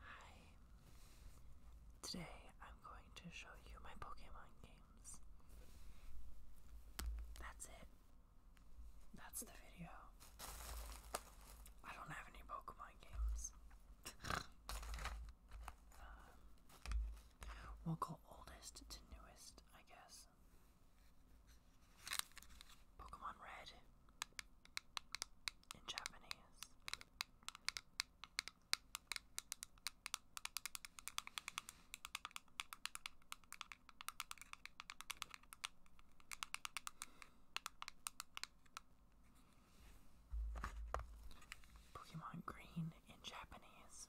Hi. Today I'm going to show you my Pokemon games. That's it. That's the video. I don't have any Pokemon games. Um, we'll go oldest to newest, I guess. Pokemon Red in Japanese. Pokemon Green in Japanese.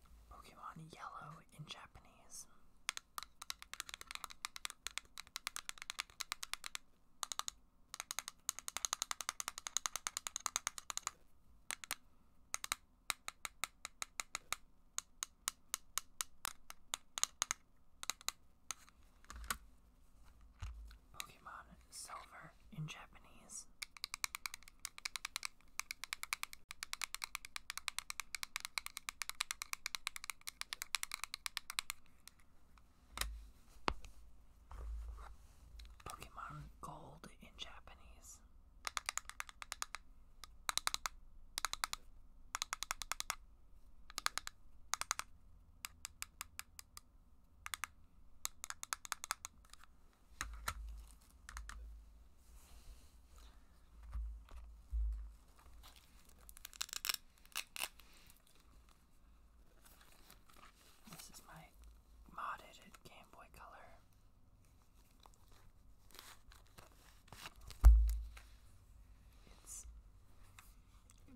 Pokemon Yellow in Japanese. Pokemon Silver in Japanese. Pokemon Gold in Japanese. This is my modded Game Boy Color. It's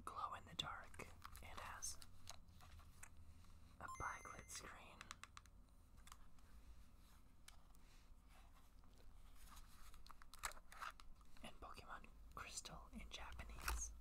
glow in the dark. It has a backlit screen and Pokemon Crystal in Japanese.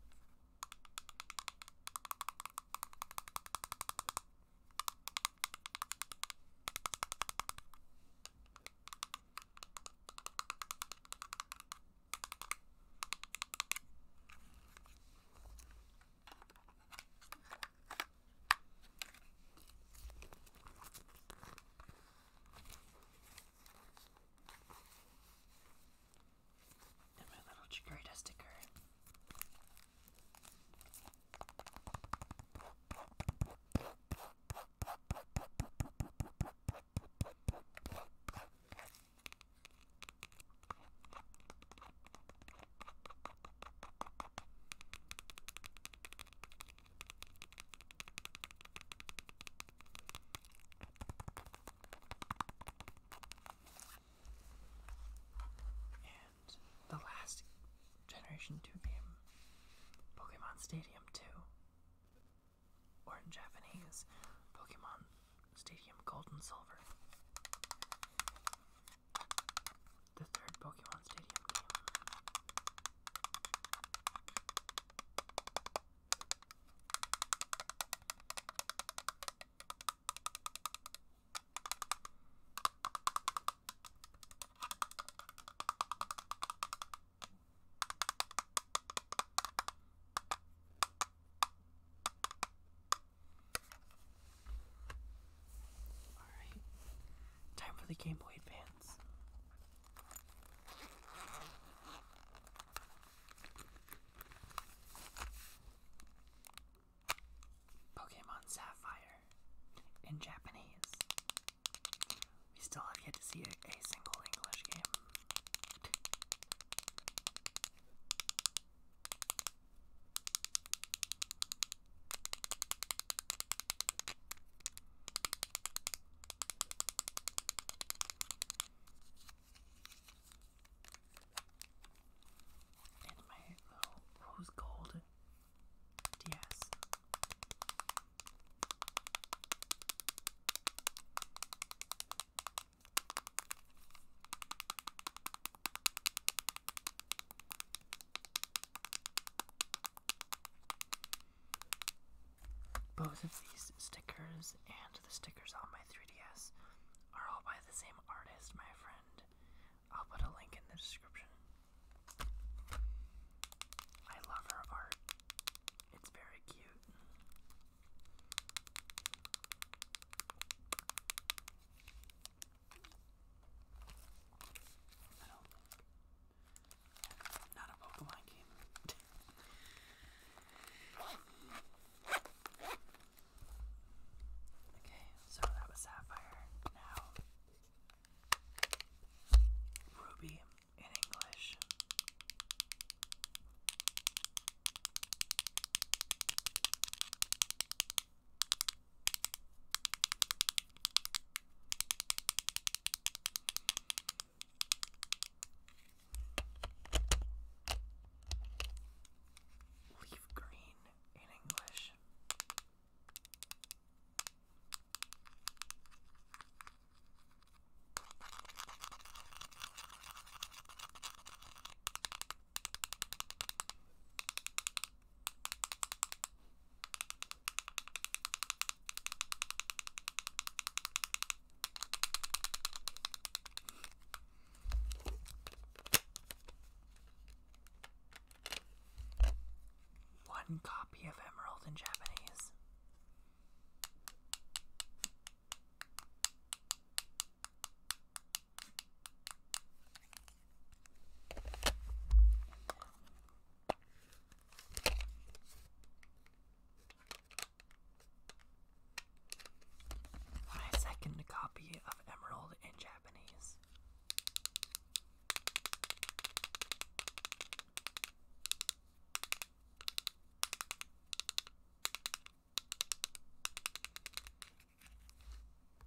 And my little Chikorita sticker. And the last Generation 2 game, Pokemon Stadium 2, or in Japanese, Pokemon Stadium Gold and Silver the third Pokemon Stadium game. Alright, time for the Game Boy Advance. Pokemon Sapphire in Japanese. We still have yet to see a, single English game. And my little rose gold DS. Both of these stickers and the stickers on my 3DS are all by the same artist, my friend. I'll put a link in the description. I love her art, it's very cute. I do Not a Pokemon game. okay, so that was Sapphire. Now, Ruby in English. Leaf green in English. One copy of Emerald in Japanese. My second copy of Emerald in Japanese.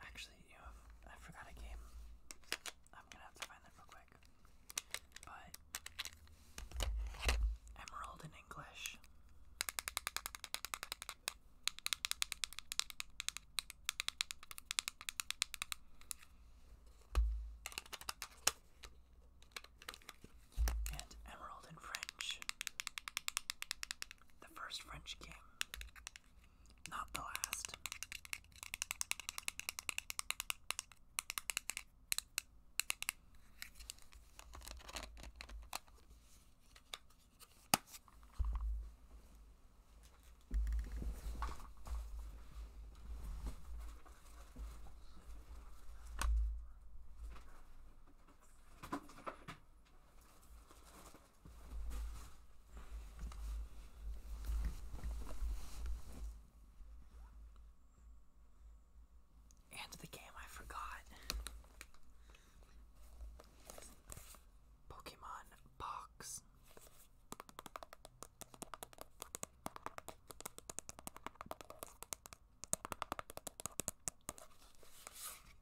Actually, you have. I forgot a game. I'm gonna have to find that real quick. But. Emerald in English. And Emerald in French the first French king, not the last. And the game I forgot. Pokemon Box.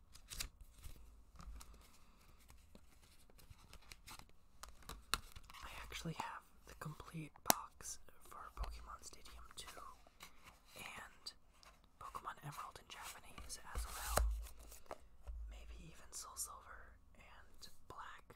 I actually have the complete box for Pokemon Stadium 2 and Pokemon Emerald in Japanese as well. Maybe even Soul Silver and Black.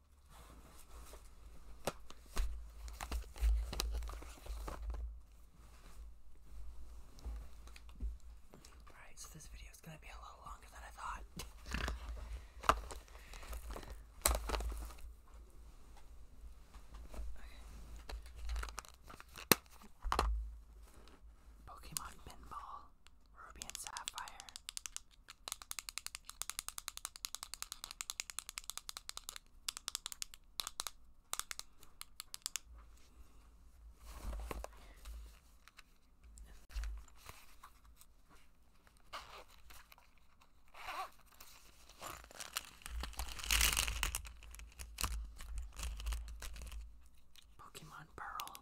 Alright, so this video is going to be a little longer than I thought. Pokemon Pinball, Ruby and Sapphire. Pokemon Pearl.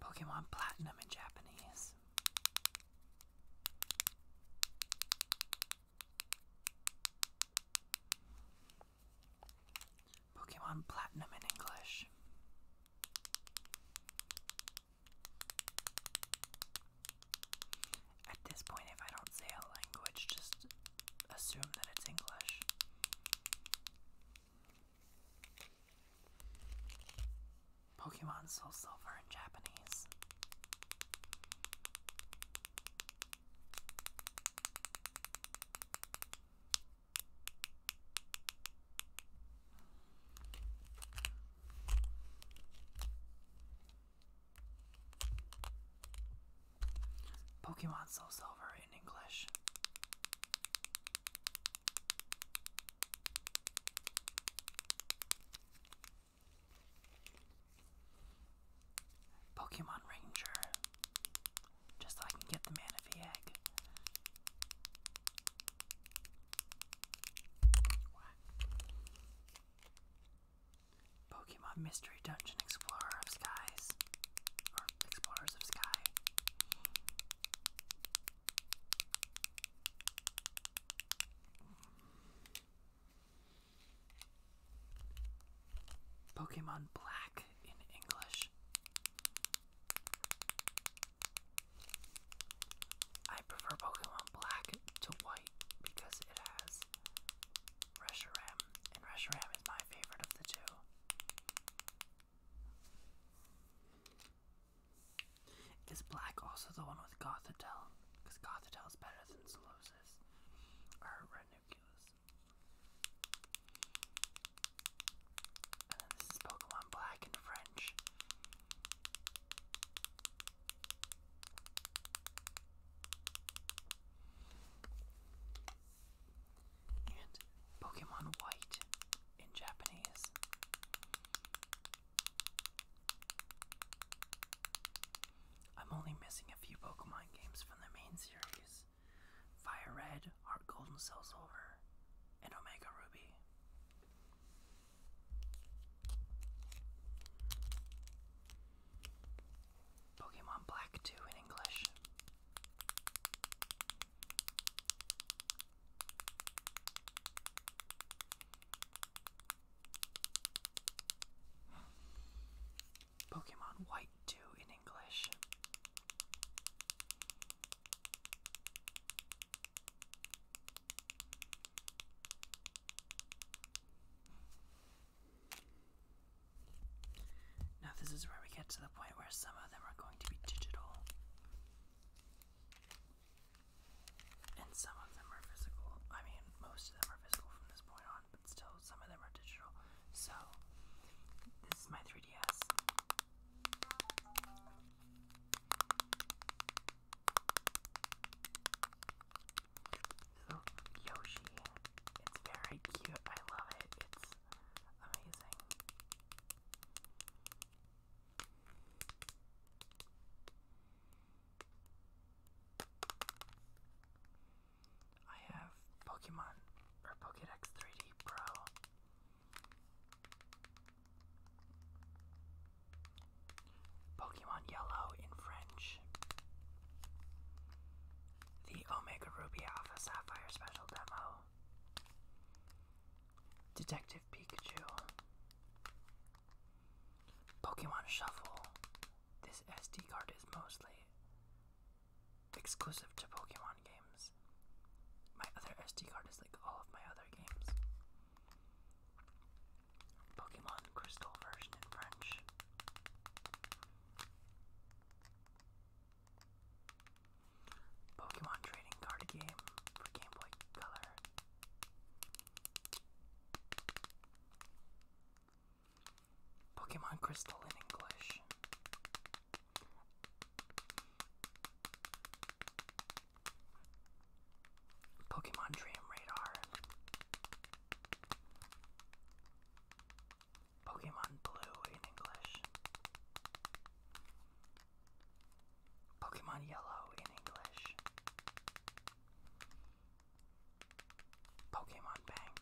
Pokemon Platinum in Japanese. Pokemon Platinum in English. At this point, if I don't say a language, just assume that it's English. Pokemon Soul Silver in Japanese. Pokemon Soul Silver in English. Pokemon Ranger. Just so I can get the Manaphy egg. Pokemon Mystery Dungeon Explorers of Skies. Or Explorers of Sky. Pokemon Black in English. I prefer Pokemon Black to White because it has Reshiram, and Reshiram is my favorite of the two. Is black also the one with Gothitelle? Because Gothitelle is better than Solosis or Ranuculus. And then this is Pokemon Black in French and Pokemon White in Japanese. I'm only missing a few Pokemon games from the main series Fire Red, Heart Golden, and Silver, and Omega Ruby. Pokemon Black 2 in English. Pokemon White 2 in English. Now, this is where we get to the point where some of them are going to be digital, and some of them are physical. I mean, most of them are physical from this point on, but still, some of them are digital. So, this is my 3DS. Little Yoshi. It's very cute. I love it. It's amazing. I have Pokemon or Pokedex 3D Pro. Pokemon Yellow in French. The Omega Ruby Alpha Sapphire Special Demo. Detective Pikachu, Pokemon Shuffle. This SD card is mostly exclusive to Pokemon games. My other SD card is like all of my other games. Pokemon Crystal version in French. Pokemon trading card game for Game Boy Color. Pokemon Crystal in English. Pokemon Dream Radar. Pokemon Blue in English. Pokemon Yellow in English. Pokemon Bank.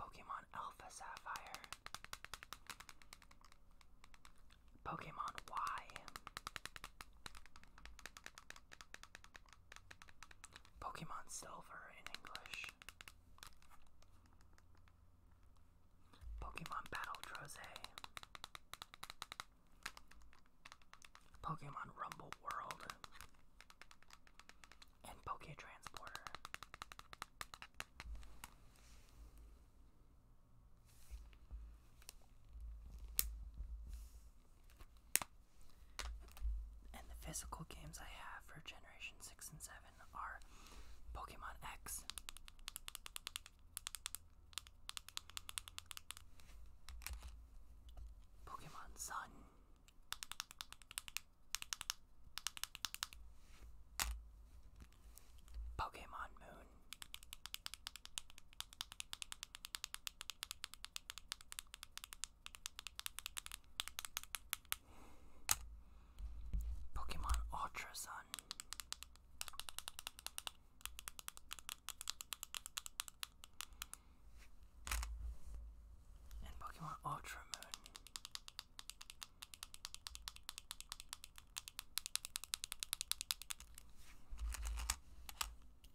Pokemon Alpha Sapphire. Pokemon Y. Pokemon Silver in English. Pokemon Battle Troze. Pokemon Rumble World. And Poke Transporter. And the physical games I have for Generation 6 and 7 are Pokemon X, Pokemon Sun, Pokemon Moon. Pokemon Ultra Sun. And Pokemon Ultra Moon.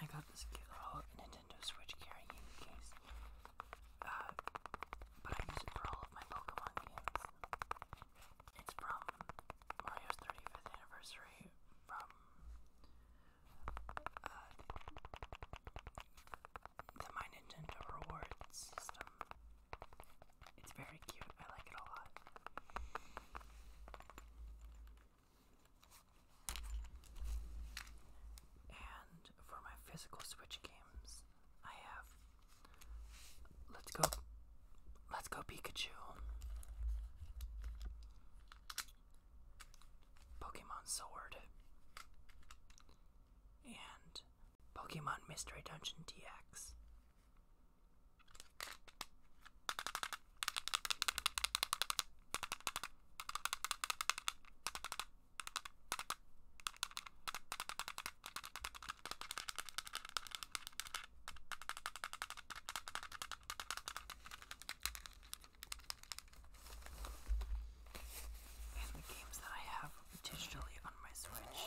I got this cute little Nintendo Switch carrying case, uh, but I use it for all of my Pokemon games. It's from Mario's 35th anniversary from uh, the Nintendo rewards system. It's very cute. I like it a lot. And for my physical Switch games, I have Let's Go Let's Go Pikachu. Pokemon Sword, and Pokemon Mystery Dungeon DX and the games that I have digitally on my Switch.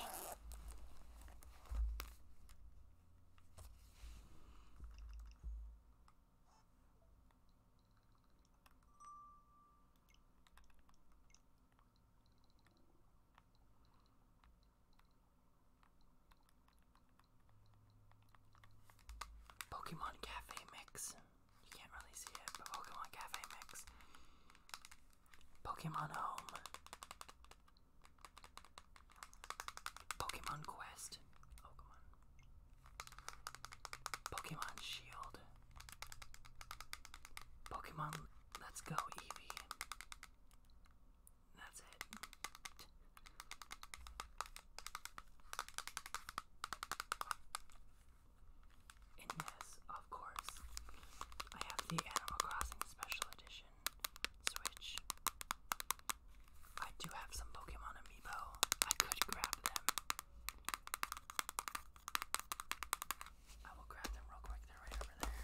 Pokemon Cafe Mix. You can't really see it, but Pokemon Cafe Mix. Pokemon Home. Pokemon Quest. Pokemon Shield. Pokemon Let's Go Eevee. That's it. And yes, of course, I have the Animal Crossing Special Edition Switch. I do have some Pokemon Amiibo. I could grab them. I will grab them real quick. They're right over there.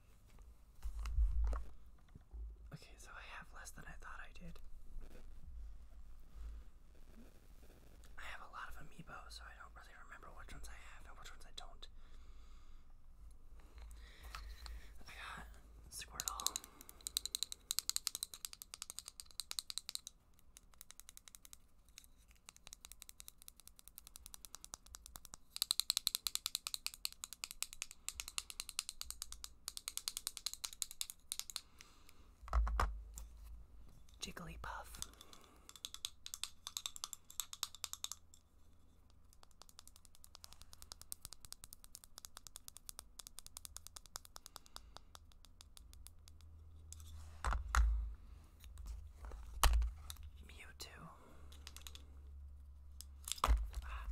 Okay, so I have less than I thought I did. I have a lot of amiibo, so I don't really remember which ones I have and which ones I don't. I got Squirtle. Jigglypuff. Mewtwo. Ah.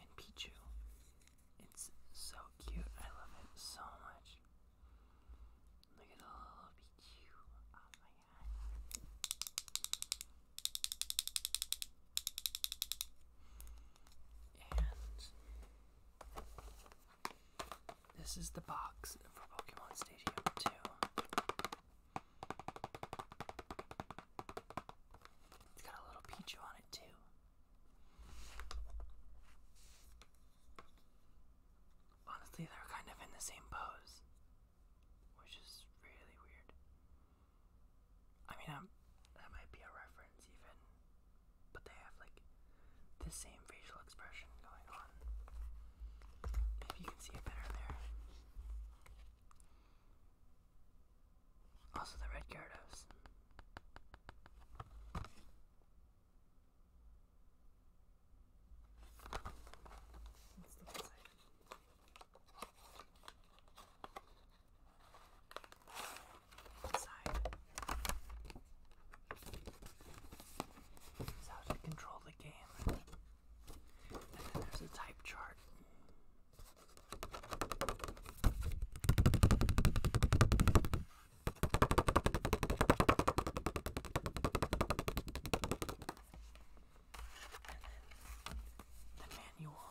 And Pichu. It's so cute. I love it so much. Look at all Pichu. Oh my god. And this is the box for Pokemon Stadium 2. It's got a little Pichu on it too. Honestly, they're kind of in the same pose, which is really weird. I mean, i that might be a reference even, but they have like the same facial expression going on. Maybe you can see it better there. Also, the red Gyarados side. Is how to control the game. And then there's a type chart. And then the manual.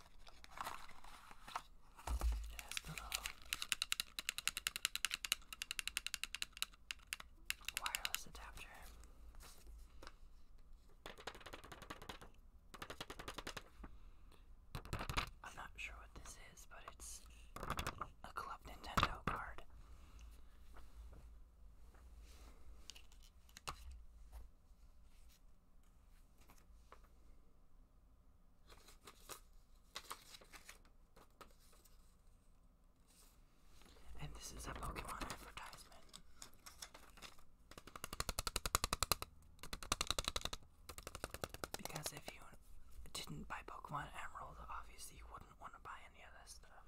It has wireless adapter. I'm not sure what this is, but it's a Club Nintendo card. And this is a Pokemon advertisement. Because if you didn't buy Pokemon Emerald, obviously you wouldn't want to buy any of stuff.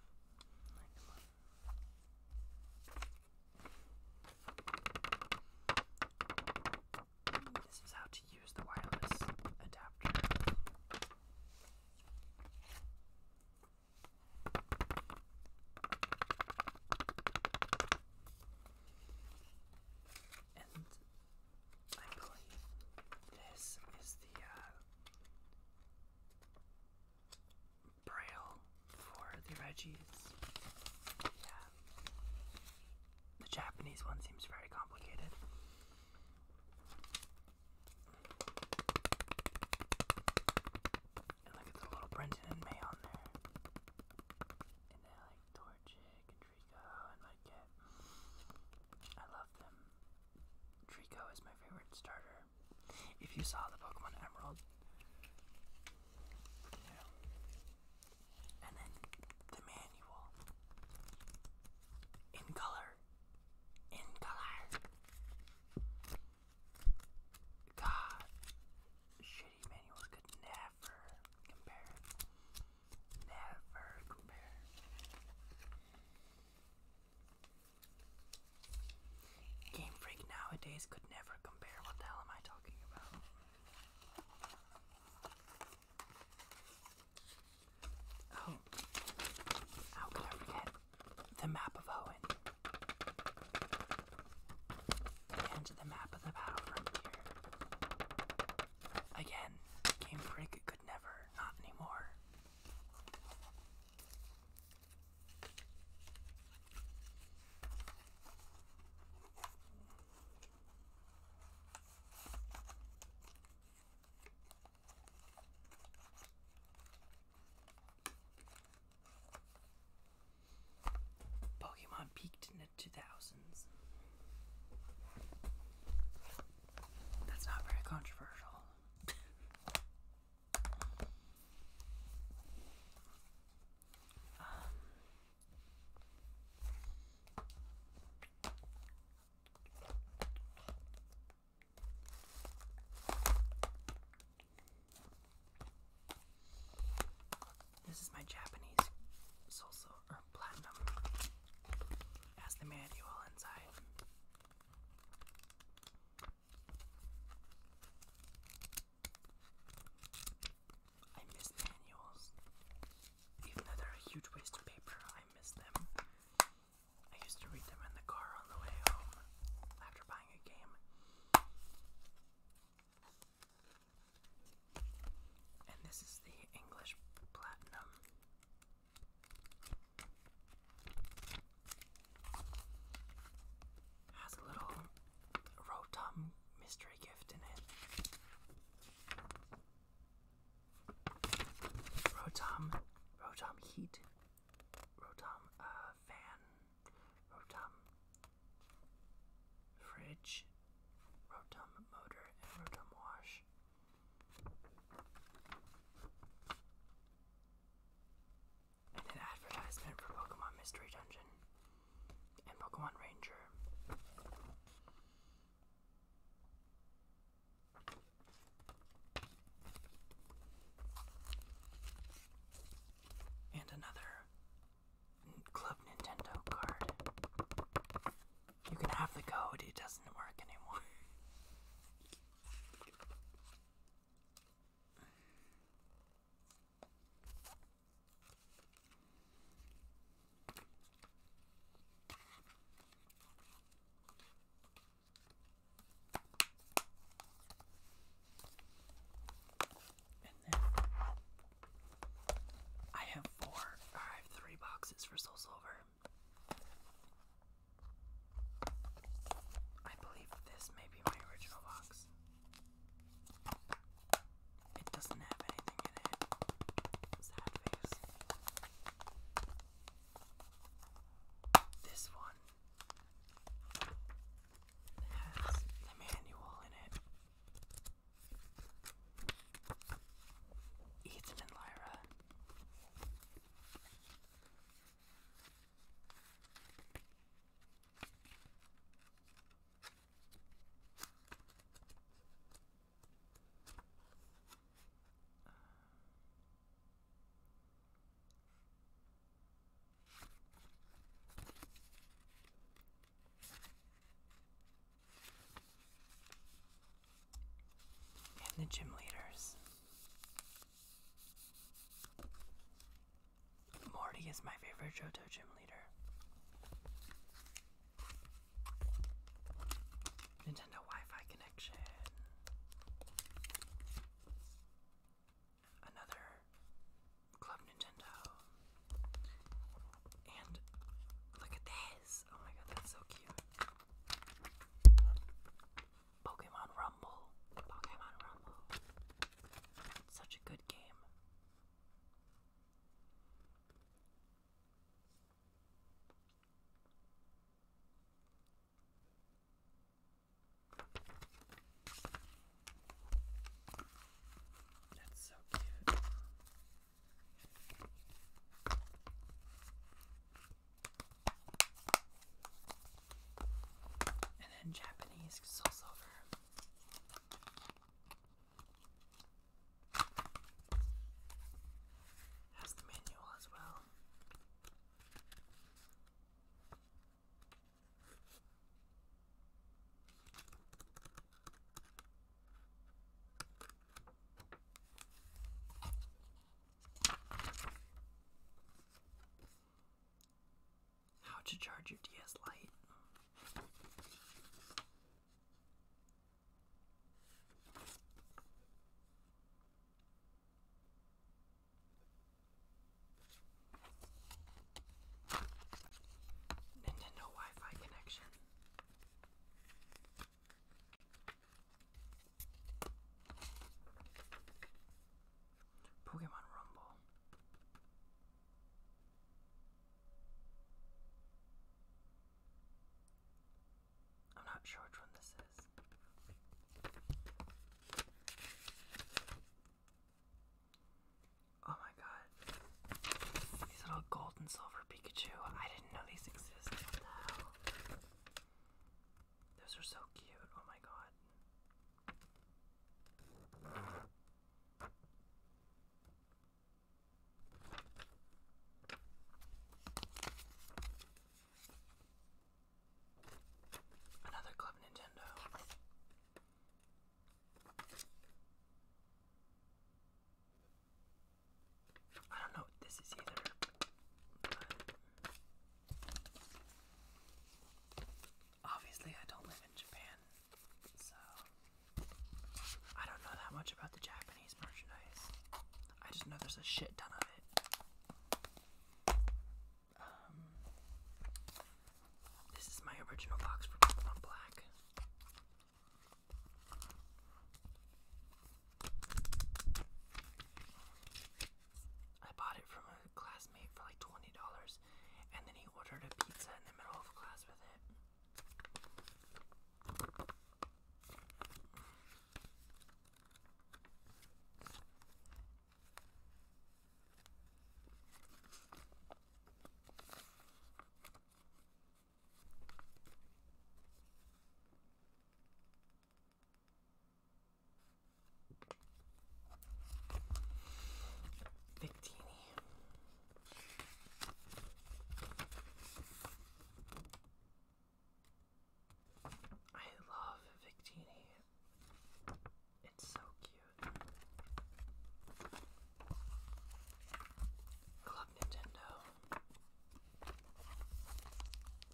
This is how to use the wireless adapter. And I believe this is the uh, braille for the Reggies. The Japanese one seems very complicated. look at the little Brenton and May on there. And they like Torchic Trico and Mudkip. I love them. Trico is my favorite starter. If you saw the Pokemon Emerald, and then the manual in color, in color. God, shitty manuals could never compare. Never compare. Game Freak nowadays could never compare. What the hell am I talking about? Oh, how could I forget the map of Owen? And the map of the battle frontier. Again, Game Freak could never, not anymore. Pokemon peaked in the 2000s. That's not very controversial. Um, this is my Japanese salsa platinum as the manual inside. I miss manuals. Even though they're a huge waste of paper, I miss them. I used to read them in the car on the way home after buying a game. And this is the English Platinum. Has a little Rotom um, mystery gift in it. Rotom, um, Rotom um, heat, Rotom uh, fan, Rotom fridge, Rotom motor, and Rotom wash. And an advertisement for Pokemon Mystery Dungeon and Pokemon Ranger. And another Club Nintendo card. You can have the code, it doesn't work anymore. I have four, boxes for Soul Silver. I believe this may be my original box. It doesn't have anything in it. This one has the manual in it. Ethan and Lyra. And the gym leaders. Morty is my favorite JoJo gym leader. Nintendo Wi-Fi connection. Another Club Nintendo. And look at this. Oh my god, that's so cute. Pokemon Rumble. Pokemon Rumble. Such a good game. That's so cute. And then Japanese sauce has the manual as well. How to charge your DS Lite. Nintendo Wi-Fi connection. Pokemon Rumble. I'm not sure which one this is. Oh my god. These little gold and silver Pikachu. I didn't know these existed. What the Those are so cute. Oh my god. Another Club Nintendo. I don't know what this is either. obviously, I don't live in Japan, so, I don't know that much about the Japanese merchandise. I just know there's a shit ton of it. Um, this is my original box for Pokemon Black. I bought it from a classmate for like $20 and then he ordered a pizza in the middle of class with it. Victini. I love Victini. It's so cute. love Nintendo.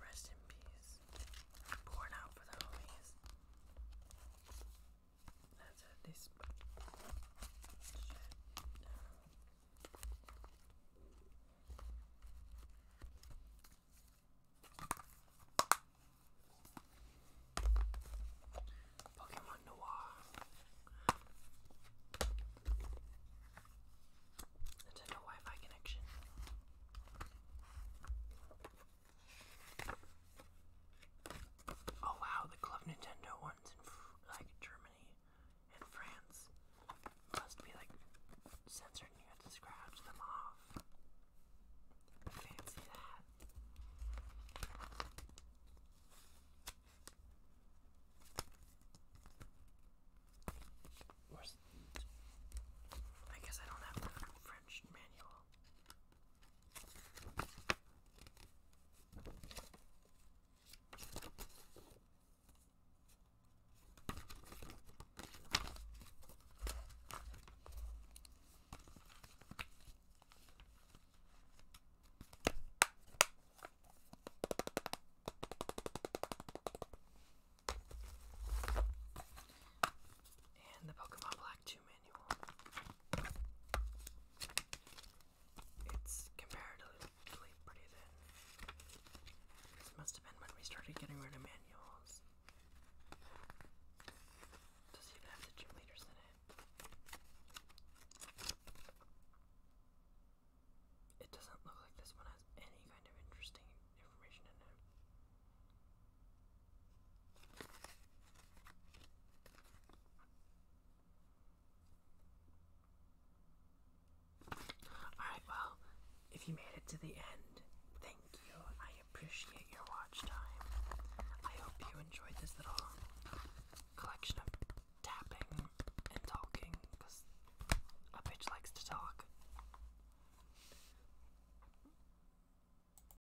Rest in peace. Born out for the homies. Let's add this Pokemon Noir. Nintendo Wi-Fi connection. Oh wow, the Club Nintendo ones in like Germany and France must be like censored and you have to scratch them off. Fancy that. I guess I don't have the French manual. And the Pokemon Black 2 it's comparatively pretty thin. This must have been when we started getting rid of manuals. Does it even have the gym in it? It doesn't look like this one has any kind of interesting information in it. Alright, well, if you made it to the end, thank you. I appreciate your watch time. I hope you enjoyed this little collection of tapping and talking, because a bitch likes to talk.